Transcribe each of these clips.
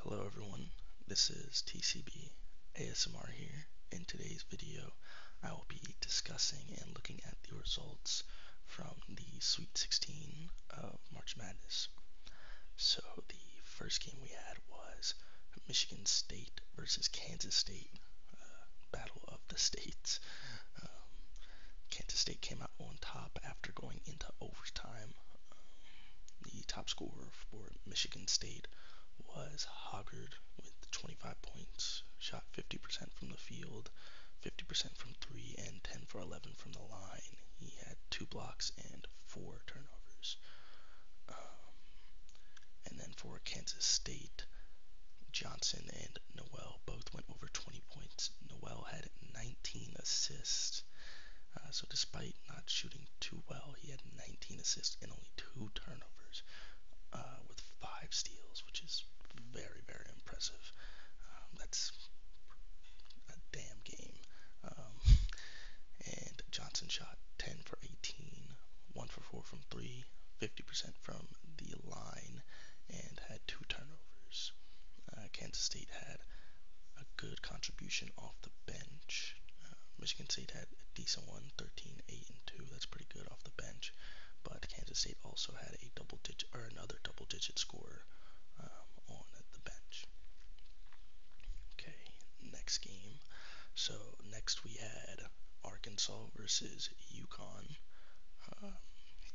Hello everyone, this is TCB ASMR here. In today's video, I will be discussing and looking at the results from the Sweet 16 of March Madness. So the first game we had was Michigan State versus Kansas State, uh, Battle of the States. Um, Kansas State came out on top after going into overtime. Um, the top scorer for Michigan State was Hoggard with 25 points, shot 50% from the field, 50% from three, and 10 for 11 from the line. He had two blocks and four turnovers. Um, and then for Kansas State, Johnson and Noel both went over 20 points. Noel had 19 assists uh, so despite not shooting too well, he had 19 assists and only two turnovers uh, with five steals, which is very, very impressive. Um, that's a damn game. Um, and Johnson shot 10 for 18, 1 for 4 from 3, 50% from the line, and had two turnovers. Uh, Kansas State had a good contribution off the bench. Uh, Michigan State had a decent one, 13, 8, and 2. That's pretty good off the bench. But Kansas State also had a double digit or another double digit scorer um, on the bench. Okay, next game. So next we had Arkansas versus UConn. Um,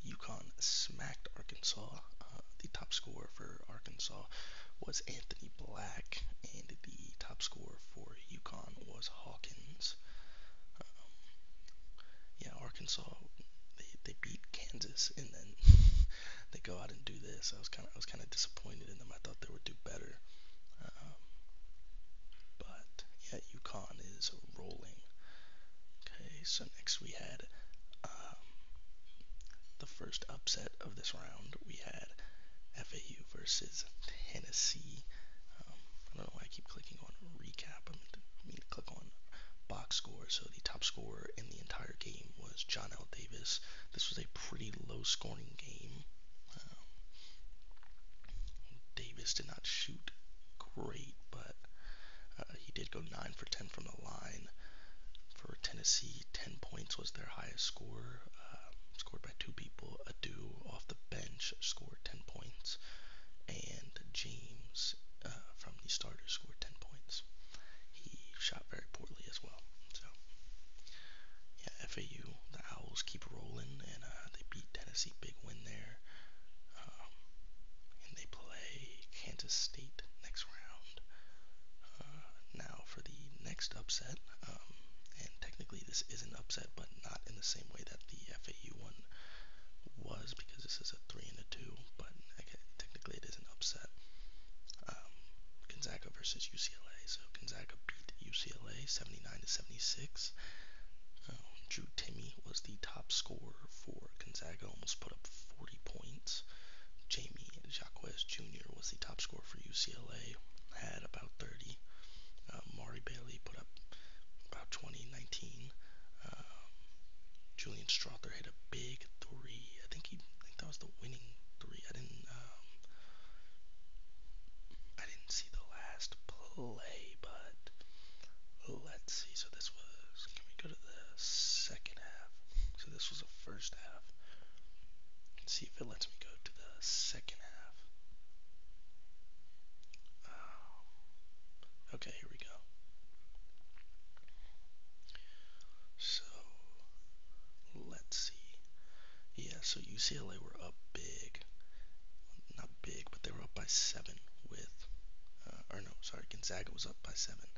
UConn smacked Arkansas uh, the top scorer for Arkansas was Anthony Black, and the top scorer for Yukon was Hawkins. Um, yeah, Arkansas they, they beat Kansas, and then they go out and do this. I was kind of I was kind of disappointed in them. I thought they would do better, um, but yeah, UConn is rolling. Okay, so next we had um, the first upset of this round. We had FAU versus Tennessee. Um, I don't know why I keep clicking on recap. I mean to click on box score. So the top scorer in the entire game was John L. Davis. This was a pretty low-scoring game. Um, Davis did not shoot great, but uh, he did go 9 for 10 from the line. For Tennessee, 10 points was their highest score, uh, scored by two people. Adu off the bench scored 10 points, and James uh, from the starters scored 10 points. He shot very poorly as well. So, yeah, FAU, the Owls keep rolling, and uh, they beat Tennessee. Big win there. Um, and they play Kansas State next round. Uh, now for the next upset, um, and technically this is an upset, but not in the same way that the FAU one was because this is a three and a two, but technically it is an upset. Um, Gonzaga versus UCLA. So Gonzaga beat UCLA 79 to 76. Uh, Drew Timmy was the top scorer for Gonzaga, almost put up 40 points. Jamie Jacques Jr. was the top scorer for UCLA, had about 30. Uh, Mari Bailey put up about 20, 19. Uh, Julian Strother hit a big three. I think he, I think that was the winning three. I didn't, um, I didn't see the last play, but let's see. So this was. Can we go to the second half? So this was the first half. Let's see if it lets me go to the second half. Oh. okay, here we go. So let's see. Yeah, so UCLA were up big big, but they were up by seven with, uh, or no, sorry, Gonzaga was up by seven,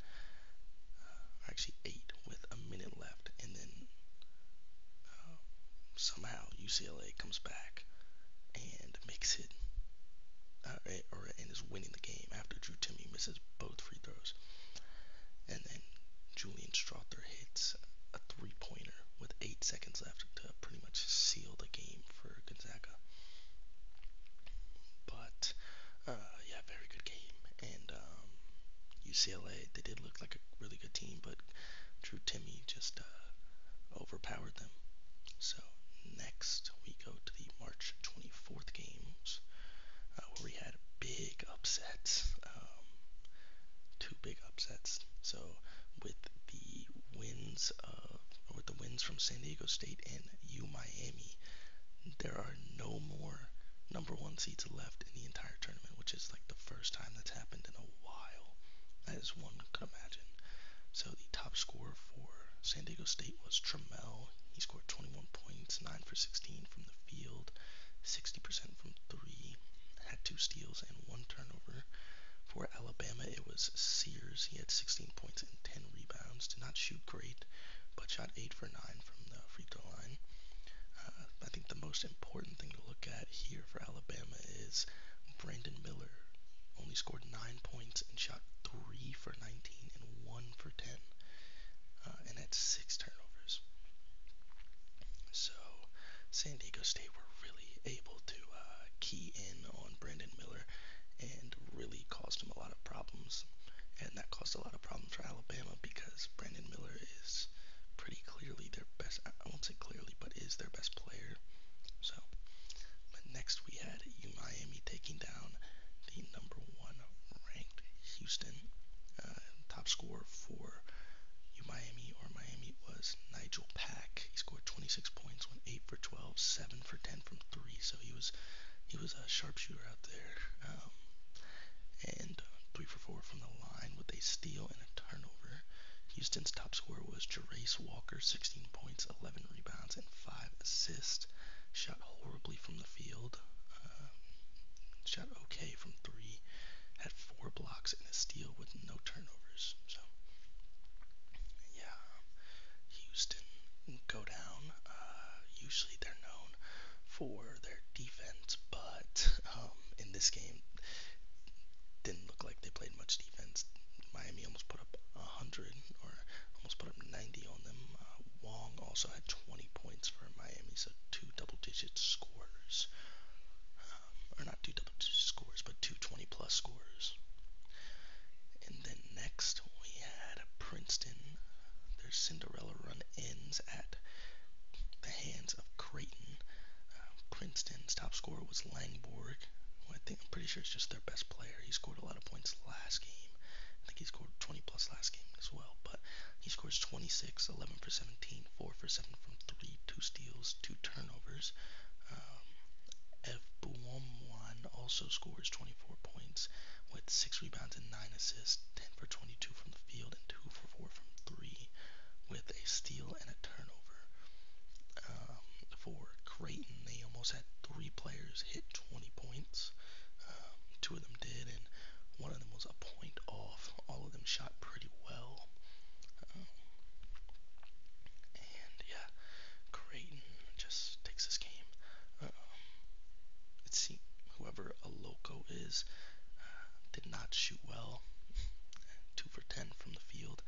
uh, actually eight with a minute left, and then um, somehow UCLA comes back and makes it, uh, eh, or and is winning the game after Drew Timmy misses both free throws, and then Julian Strother hits a three-pointer with eight seconds left to pretty much seal the game for Gonzaga. But uh, yeah, very good game. And um, UCLA, they did look like a really good team, but Drew Timmy just uh, overpowered them. So next we go to the March 24th games, uh, where we had big upsets. Um, two big upsets. So with the wins with the wins from San Diego State and U Miami, there are no more number one seeds left in the entire tournament, which is like the first time that's happened in a while, as one could imagine. So the top scorer for San Diego State was Trammell. He scored 21 points, 9 for 16 from the field, 60% from three he had two steals and one turnover. For Alabama, it was Sears. He had 16 points and 10 rebounds. Did not shoot great, but shot 8 for 9 from the free throw line. Uh, I think the most important thing to look at here for Alabama is Brandon Miller. Only scored 9 points and shot 3 for 19 and 1 for 10, uh, and had 6 turnovers. So San Diego State were really able to uh, key in on Brandon Miller and really caused him a lot of problems. And that caused a lot of problems for Alabama because Brandon Miller is pretty clearly their best, I won't say clearly, but is their best player. So, but next we had U Miami taking down the number one ranked Houston. Uh, top scorer for U Miami or Miami was Nigel Pack. He scored 26 points, went 8 for 12, 7 for 10 from 3. So he was he was a sharpshooter out there. Um, and uh, 3 for 4 from the line with a steal and a turnover. Houston's top scorer was Jerace Walker, 16 points, 11 rebounds, and 5 assists. Shot horribly from the field. Um, shot okay from 3 had four blocks and a steal with no turnovers. So, yeah, Houston go down. Uh, usually they're known for their defense, but um, in this game, didn't look like they played much defense. Miami almost put up 100 or almost put up 90 on them. Uh, Wong also had 20 points for Miami, so two double-digit scores, um, or not two double-digit scores, but two 20-plus scores. And then next we had Princeton. Their Cinderella run ends at the hands of Creighton. Uh, Princeton's top scorer was Langborg. Well, I think I'm pretty sure it's just their best player. He scored a lot of points last game, I think he scored 20 plus last game as well. But he scores 26, 11 for 17, 4 for 7 from 3, 2 steals, 2 turnovers. Um, also scores 24 points with 6 rebounds and 9 assists, 10 for 22 from the field, and 2 for 4 from 3 with a steal and a turnover. Um, for Creighton, they almost had three players hit 20 points. Um, two of them did, and one of them was a point off. All of them shot pretty well. Um, and yeah, Creighton just takes this game. Um, it seemed whoever a loco is uh, did not shoot well. two for ten from the field.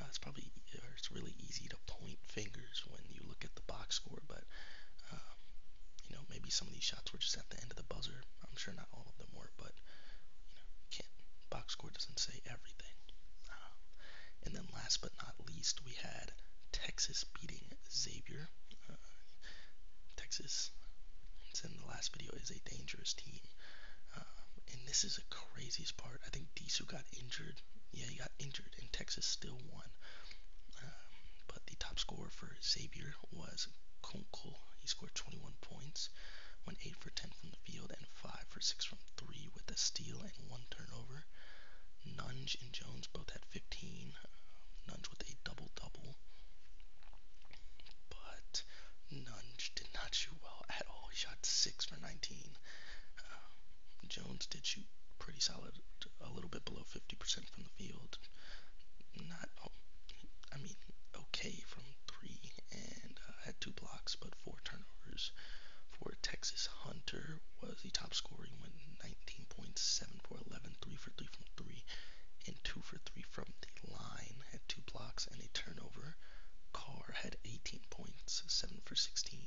Uh, it's probably it's really easy to point fingers when you look at the box score, but um, you know, maybe some of these shots were just at the end of the buzzer. I'm sure not all of them were, but you know, can't box score doesn't say everything. Um, and then last but not least, we had Texas beating Xavier. Uh, Texas, it's in the last video, is a dangerous team. Um, and this is the craziest part. I think Disu got injured. Yeah, he got injured, and Texas still won. Um, but the top scorer for Xavier was Kunkel. He scored 21 points, went 8 for 10 from the field, and 5 for 6 from 3 with a steal and one turnover. Nunge and Jones both had 15. Nunge with a double double. But Nunge did not shoot well at all. He shot 6 for 19. Uh, Jones did shoot pretty solid, a little bit below 50% from the field. Not, oh, I mean, okay from three, and uh, had two blocks, but four turnovers. For Texas Hunter was the top scorer. He went 19 points, 7 for 11, 3 for 3 from 3, and 2 for 3 from the line. Had two blocks and a turnover. Carr had 18 points, 7 for 16,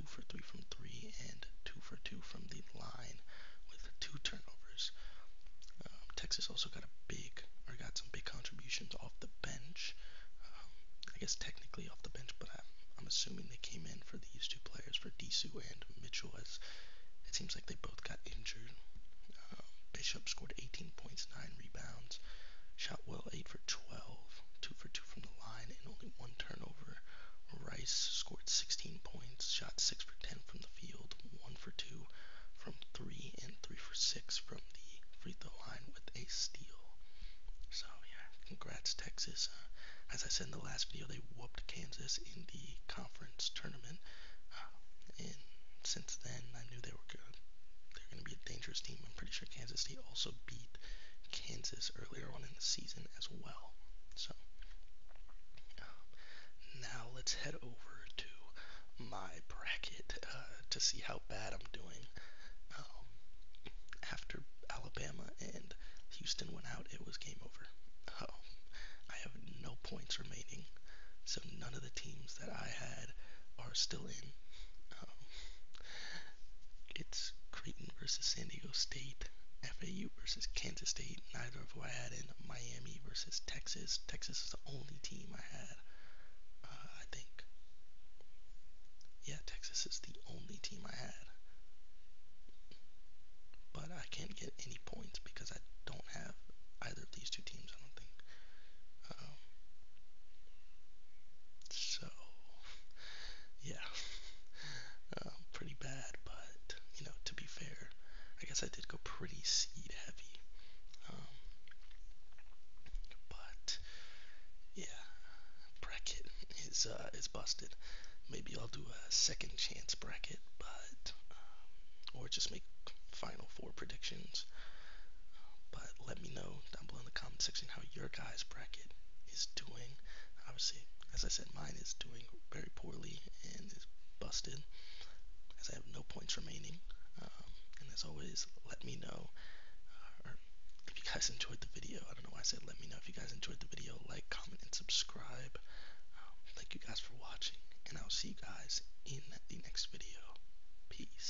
2 for 3 from 3 and 2 for 2 from the line with two turnovers. Um, Texas also got a big, or got some big contributions off the bench. Um, I guess technically off the bench, but I'm, I'm assuming they came in for these two players, for Disu and Mitchell, as it seems like they both got injured. Um, Bishop scored 18 points, 9 rebounds, shot well 8 for 12, 2 for two from the line, and only one turnover. Rice scored 16 points, shot 6 for 10 from the field, 1 for 2 from 3, and 3 for 6 from the free throw line with a steal. So, yeah, congrats, Texas. Uh, as I said in the last video, they whooped Kansas in the conference tournament. Uh, and since then, I knew they were good. They're going to be a dangerous team. I'm pretty sure Kansas State also beat Kansas earlier on in the season as well. So um, now let's head over to my bracket uh, to see how bad I'm doing. Um, after Alabama and Houston went out, it was game over. Oh, I have no points remaining, so none of the teams that I had are still in. Um, it's Creighton versus San Diego State, FAU versus Kansas State, neither of who I had in Miami versus Texas. Texas is the only team I had, uh, I think. Yeah, Texas is the only team I had. But I can't get any points because I don't have either of these two teams, I don't think. Um, so so, yeah, um, pretty bad. But you know, to be fair, I guess I did go pretty seed heavy. Um, but yeah, bracket is uh, is busted. Maybe I'll do a second chance bracket, but um, or just make final four predictions. But let me know down below in the comment section how your guys' bracket is doing. Obviously, as I said, mine is doing very poorly and is busted, as I have no points remaining. Um, and as always, let me know. Uh, if you guys enjoyed the video, I don't know why I said let me know. If you guys enjoyed the video, like, comment, and subscribe. Um, thank you guys for watching, and I'll see you guys in the next video. Peace.